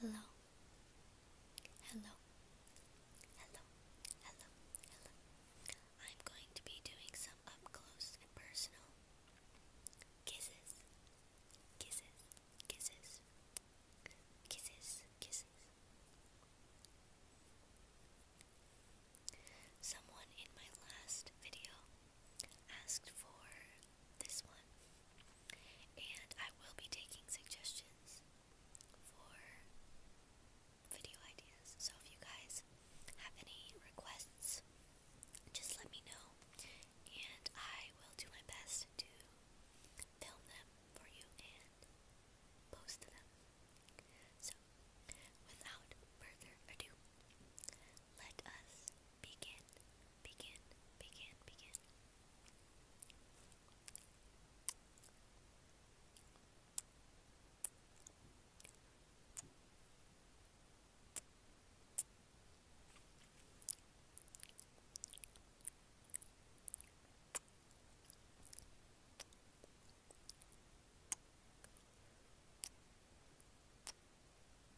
Hello. Hello. Hello. Hello. Hello. I'm going to be doing some up close and personal kisses. Kisses. Kisses. Kisses. Kisses. Someone in my last video asked for this one, and I will be taking suggestions for video ideas. So if you guys have any requests, just let me know, and I will do my best to film them for you and post them. So, without further ado, let us begin, begin, begin, begin.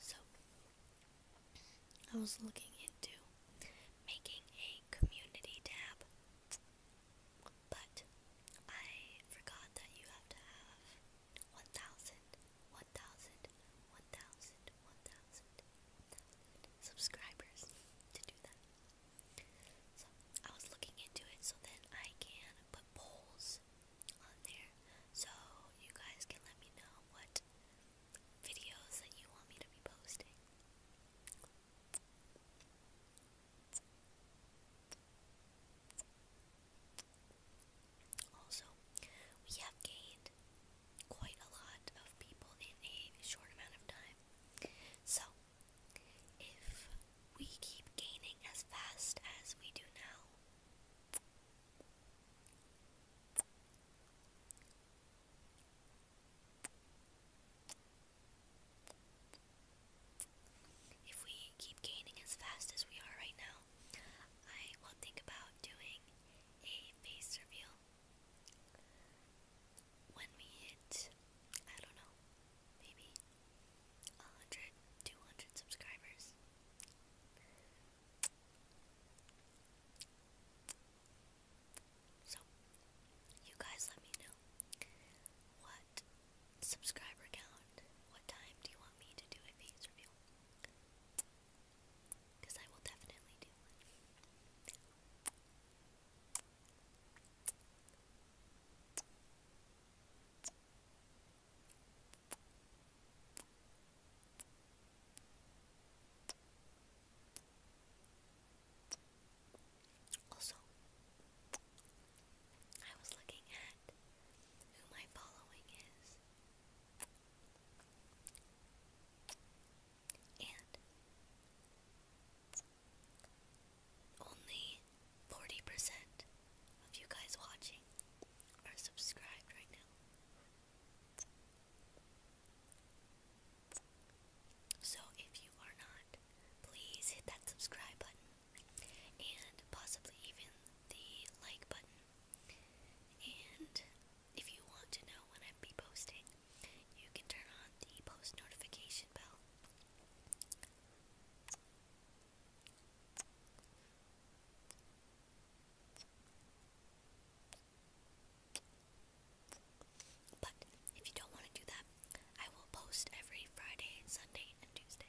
So, I was looking into making a community tab but I forgot that you have to have 1,000, subscribers to do that. So I was looking into it so then I can put polls on there so you guys can let me know what videos that you want me to be posting. Also, we have gained quite a lot of people in a short amount of time. So, if we keep gaining as fast as we do now, if we keep gaining as fast as we are right now, I will think about doing a face reveal when we hit, I don't know, maybe 100, 200 subscribers. So, you guys let me know what subscriber count. What time do you want me to do a face review? Because I will definitely do one. Also, I was looking at who my following is. And only 40% of you guys watching are subscribed right now. So if you are not, please hit that subscribe button and possibly even the like button. And if you want to know when I be posting, you can turn on the post notification bell. But if you don't want to do that, I will post every Friday, Sunday, and Tuesday.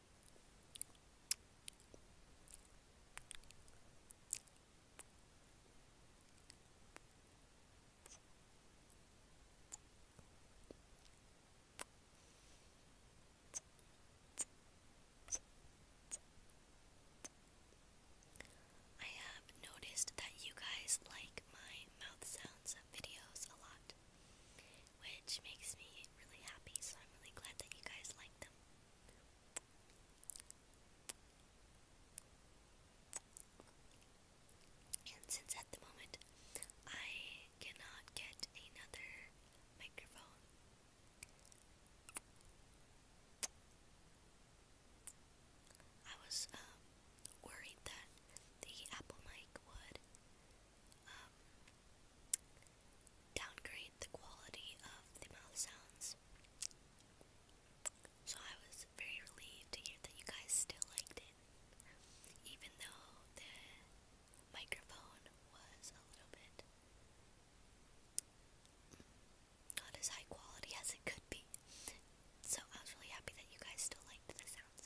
I have noticed that you guys like my mouth sounds videos a lot which makes me really happy, so I'm really glad that you guys like them. And since at the moment I cannot get another microphone, I was um, worried that the Apple mic would um, downgrade the quality of the mouth sounds. So I was very relieved to hear that you guys still liked it, even though the microphone was a little bit not as high quality as it could be. So I was really happy that you guys still liked the sounds.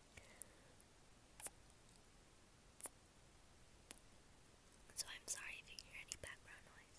So I'm sorry if you hear any background noise.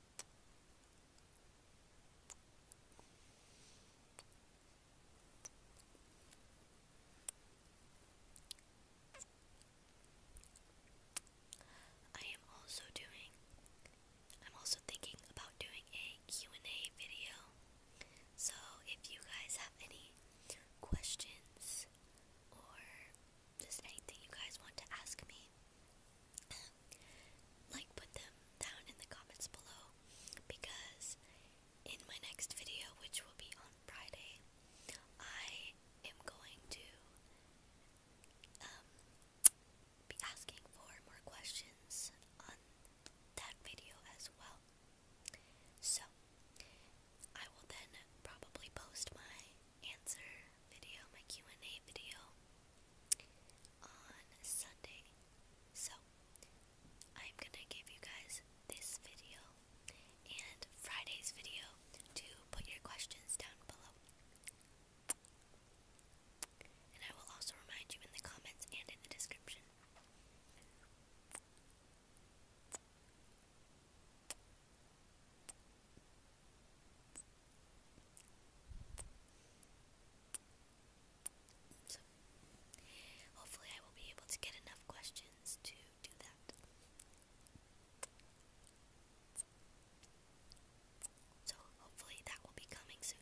I am also doing I'm also thinking about doing a Q&A video. So, if you guys have any questions or just anything you guys want to ask me, like put them down in the comments below because in my next video, which will be on Friday, I am going to um, be asking for more questions on that video as well. So, I will then probably post my answer video, my Q&A video on Sunday. So, I'm gonna give you guys this video and Friday's video to put your questions down below. And I will also remind you in the comments and in the description. So, hopefully, I will be able to get enough questions to do that. So, hopefully, that will be coming soon.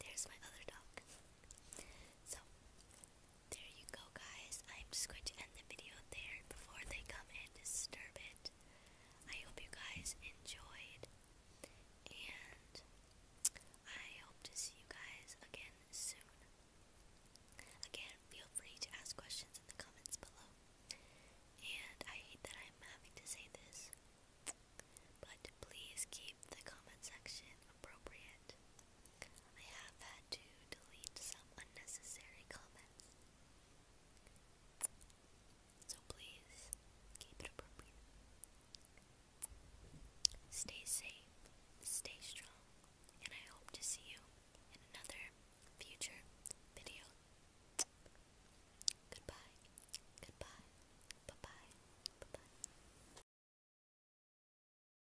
There's my other dog. So, there you go, guys. I'm just going to end the video there before they come and disturb it. I hope you guys enjoyed, and I hope to see you guys again soon. Again, feel free to ask questions in the comments below. And I hate that I'm having to say this, but please keep the comment section appropriate. I have had to delete some unnecessary comments. So please keep it appropriate. Stay safe, stay strong, and I hope to see you in another future video. Goodbye, goodbye, bye bye, bye bye.